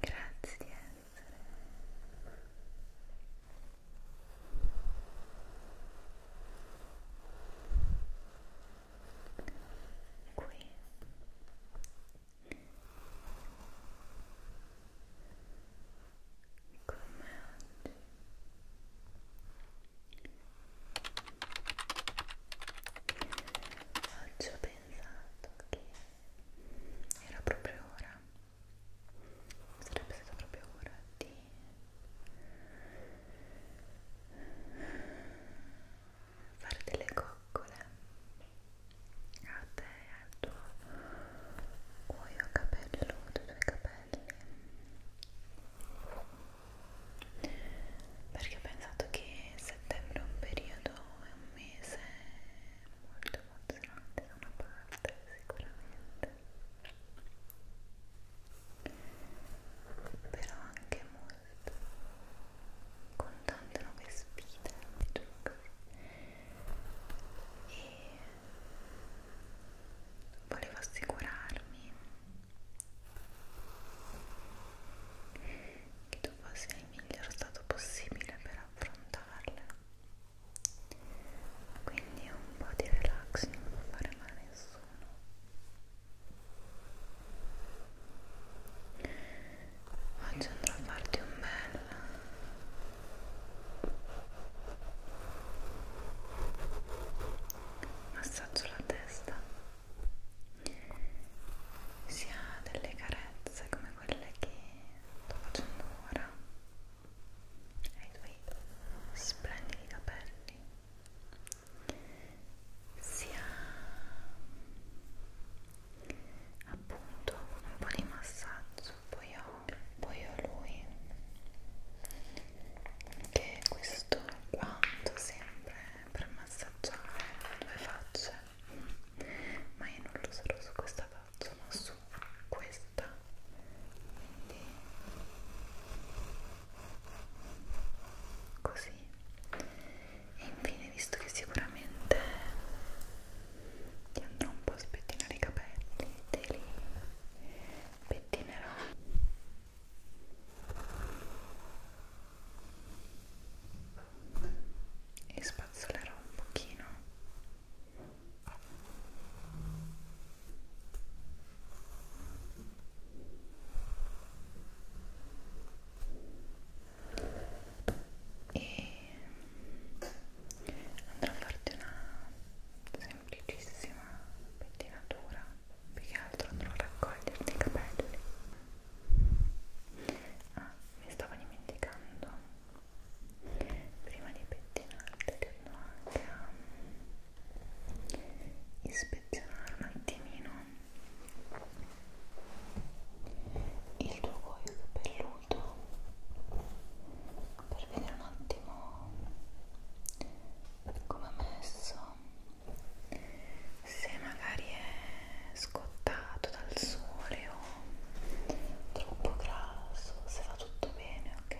grazie di essere qui come oggi Oggi ho pensato pensato che era proprio ora sarebbe stata proprio ora di fare delle coccole a te e al tuo cuoio capelluto, i tuoi capelli perché ho pensato che settembre è un periodo molto è un mese molto emozionante da una parte sicuramente però anche molto con tante nuove sfide diciamo così e volevo assicurarmi che tu fossi nel miglior stato possibile per affrontarle quindi un po' di relax non può fare male a nessuno oggi andrò a farti un bel massaggio alla testa si ha delle carezze come quelle che sto facendo ora ai tuoi splendidi capelli si ha appunto un po' di massaggio poi ho, poi ho lui che è questo quanto sempre per massaggiare le due facce ma io non lo userò su questa faccia ma su questa quindi così e infine visto che sicuramente ti andrò un po' a spettinare i capelli te li pettinerò e spazzolerò un pochino e andrò a farti una semplicissima pettinatura più che altro andrò a raccoglierti i capelli ah, mi stavo dimenticando prima di pettinarti devo anche um, ispezionare un attimino il tuo cuoio capelluto per vedere un attimo come è messo se magari è scottato dal sole o troppo grasso, se va tutto bene, ok?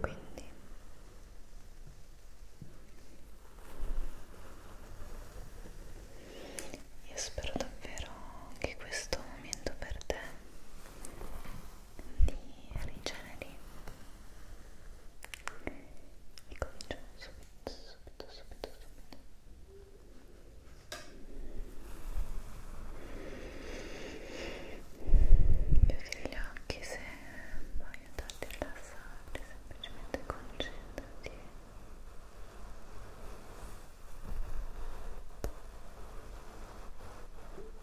Quindi io spero davvero che questo momento per te di Originally e cominciamo subito, subito, subito, subito chiudi gli occhi se puoi aiutarti a rilassare semplicemente concentrati Rilassati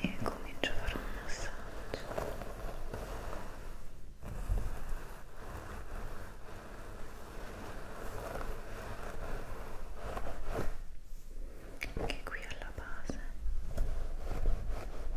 e comincio a fare un massaggio anche qui alla base della testa e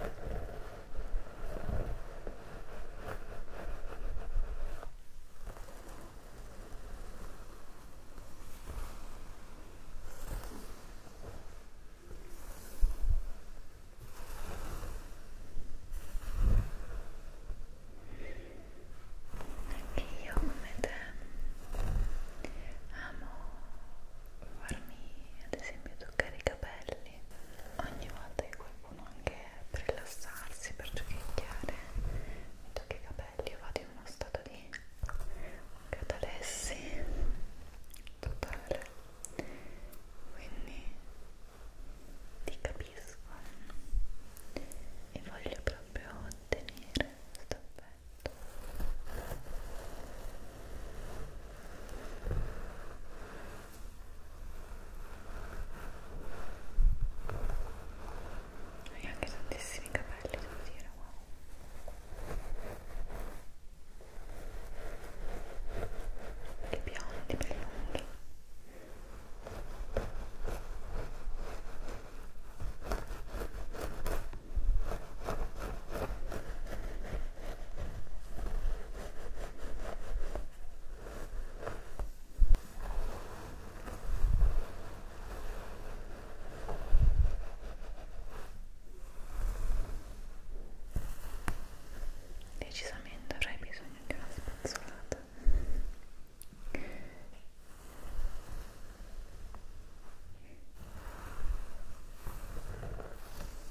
Anche io come te amo farmi ad esempio toccare i capelli ogni volta che qualcuno anche per rilassarsi, per giochicchiare mi tocca i capelli io vado in uno stato di catalessi totale quindi ti capisco eh. e voglio proprio ottenere questo effetto hai anche tantissimi capelli devo dire wow che biondi belli lunghi Decisamente avrei bisogno di una spazzolata.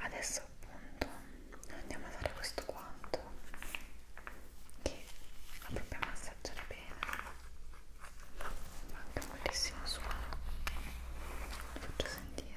adesso appunto andiamo a fare questo guanto che lo proprio massaggiare bene fa anche moltissimo suono lo faccio sentire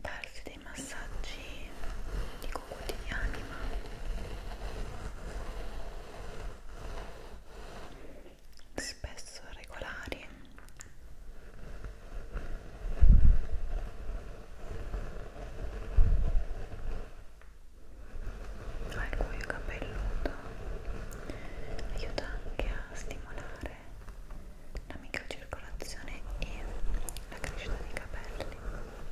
darsi dei massaggi dico quotidiani ma spesso regolari il cuoio capelluto aiuta anche a stimolare la microcircolazione e la crescita dei capelli più veloce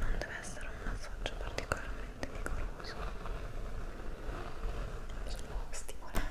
non deve essere un massaggio particolarmente vigoroso solo stimolante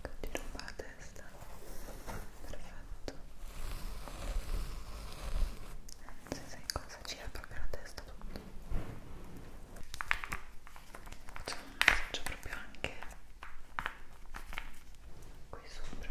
Continuo con la testa. Perfetto. Se sei cosa gira proprio la testa tutto. Facciamo un massaggio proprio anche qui sopra.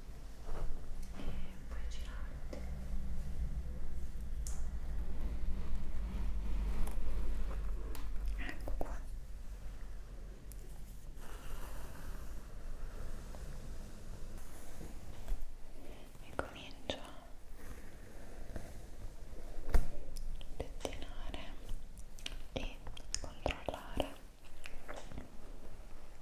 e poi girate ecco qua e comincio a pettinare e controllare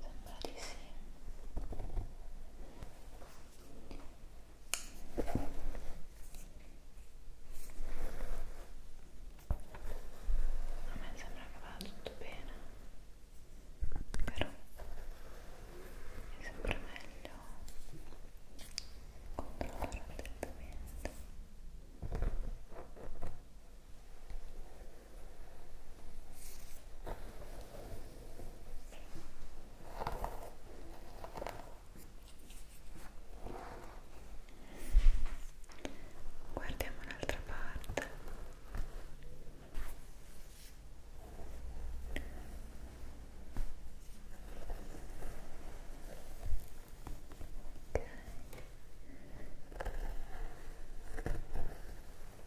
Sembra di sì. A me sembra che vada tutto bene, però mi sembra meglio controllare attentamente. Guardiamo un'altra parte. Okay.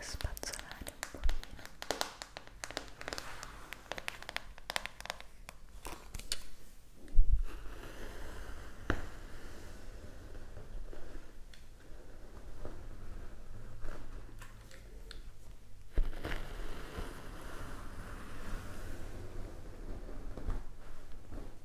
spazzolare un pochino ok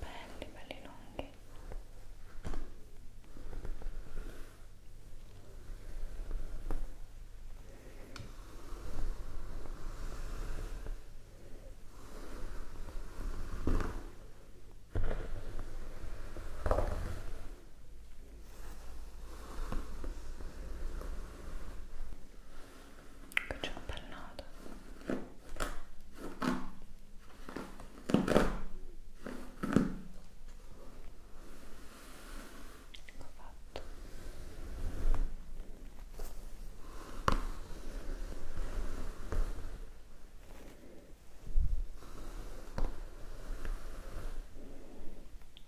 belli belli lunghi faccio un bel nodo ecco fatto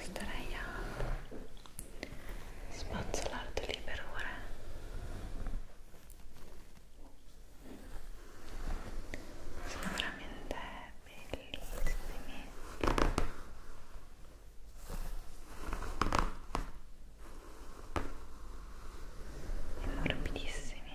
starei a spazzolarti lì per ore sono veramente bellissimi e morbidissimi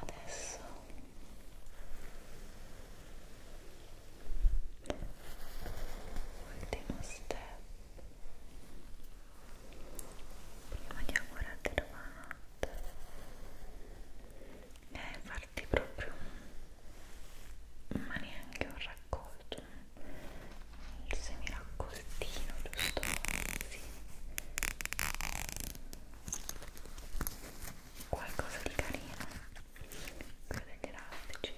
Adesso ultimo step prima di augurarti la eh, farti proprio ma neanche un raccolto il semiraccoltino giusto così qualcosa di carino quello degli elastici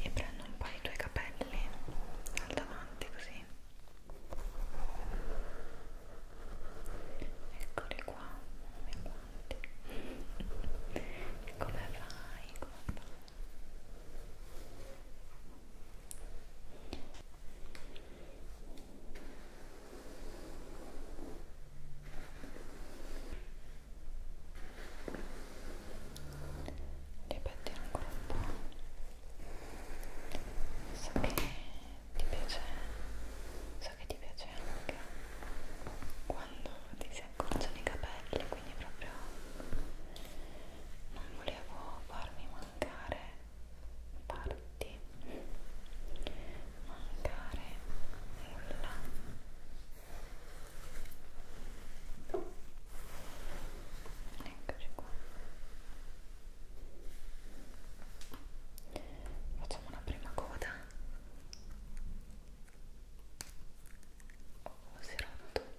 e prendo un po' i tuoi capelli al davanti così Eccole qua, come guardi. Come vai? Come vai? Ripetiamo ancora un po'. So che ti piace so che ti piace anche quando ti si accorciano i capelli quindi proprio non volevo farmi mancare parti mancare nulla eccoci qua Facciamo una prima coda. Oh, si è rotto. Ecco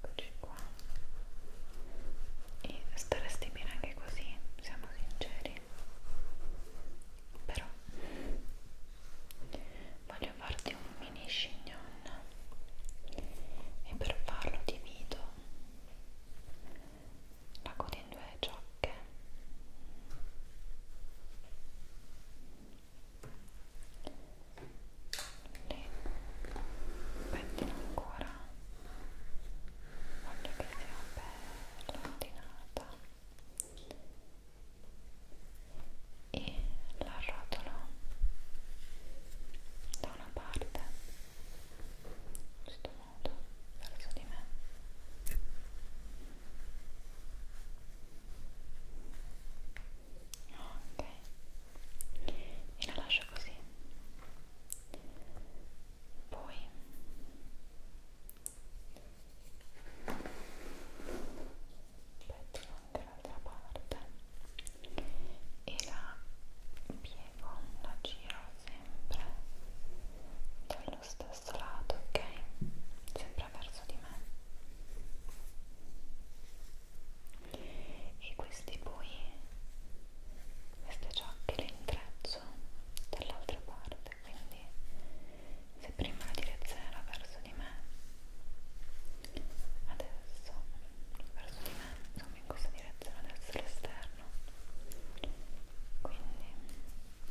eccoci qua e staresti bene anche così siamo sinceri però voglio farti un mini chignon e per farlo divido la coda in due ciocche le pettino ancora voglio che sia bella ordinata e la rotolo da una parte in questo modo verso di me ok e la lascio così poi pettino dall'altra parte e la piego, la giro sempre dallo stesso lato, ok? sempre verso di me e questi poi queste ciocche le intreccio dall'altra parte quindi se prima la direzione era verso di me adesso verso di me insomma in questa direzione adesso l'esterno quindi e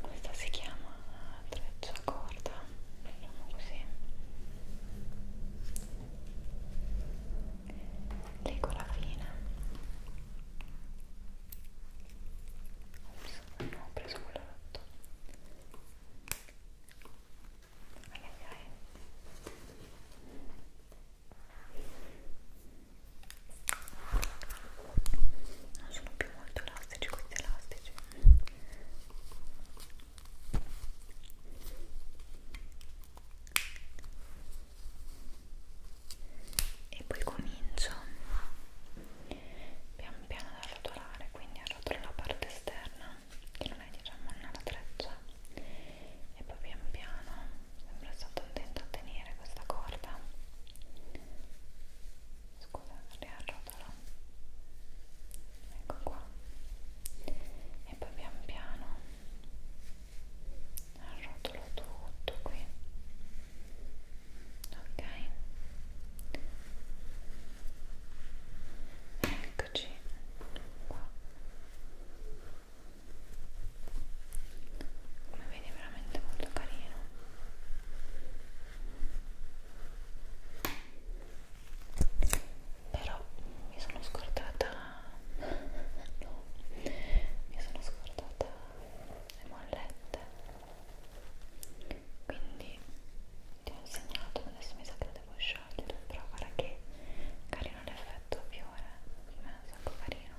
questa si chiama treccia corda diciamo così legola fine Ops, non ho preso quello rotto ai ai ai non sono più molto elastici questi elastici e poi comincio pian piano ad arrotolare quindi arrotolo la parte esterna che non è diciamo una treccia e poi pian piano sembra stato un tento a tenere questa corda scusa, riarrotalo ecco qua e poi pian piano arrotolo tutto qui ok eccoci qua come vedi è veramente molto carino però mi sono scordata no mi sono scordata le mollette quindi ti ho insegnato adesso mi sa che le devo sciogliere però guarda che carino l'effetto più colore è un sacco carino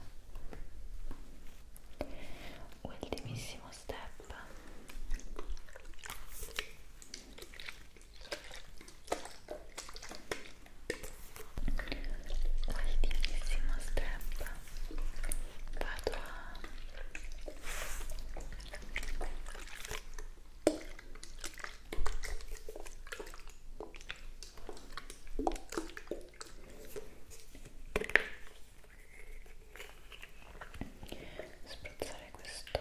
ultimissimo step ultimissimo step vado a Vado spruzzare questo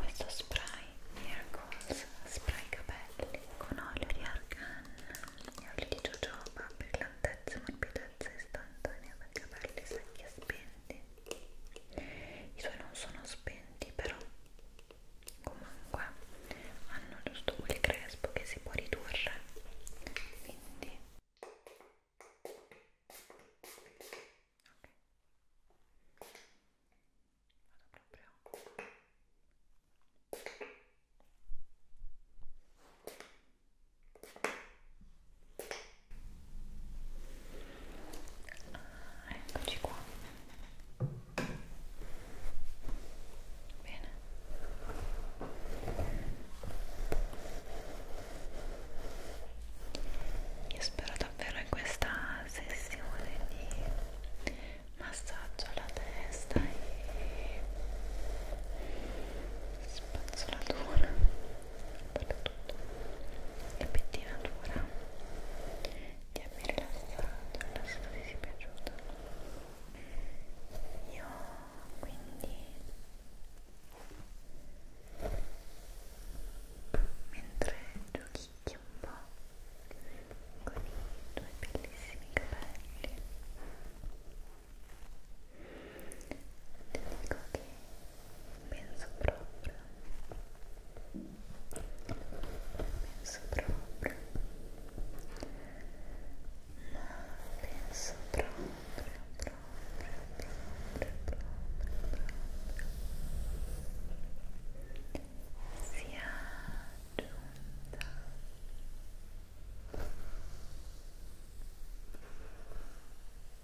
questo spray Miracles spray capelli con olio di argan e olio di jojoba per l'altezza e morbidezza istantanea dei capelli secchi e spinti grandi i suoi non sono spenti però comunque hanno giusto quel crespo che si può ridurre quindi ok vado proprio ok Ah, eccoci qua. Bene. Io spero davvero in questa sessione di massaggio alla testa e spazzolatura e pettinatura di avermi rilassato rilassato vi sia piaciuta io quindi mentre giochicchio un po' con i tuoi bellissimi capelli ti dico che penso proprio penso proprio ma penso proprio proprio proprio proprio proprio sia giunta la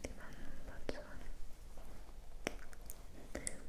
ti mando un bacione Dall'espera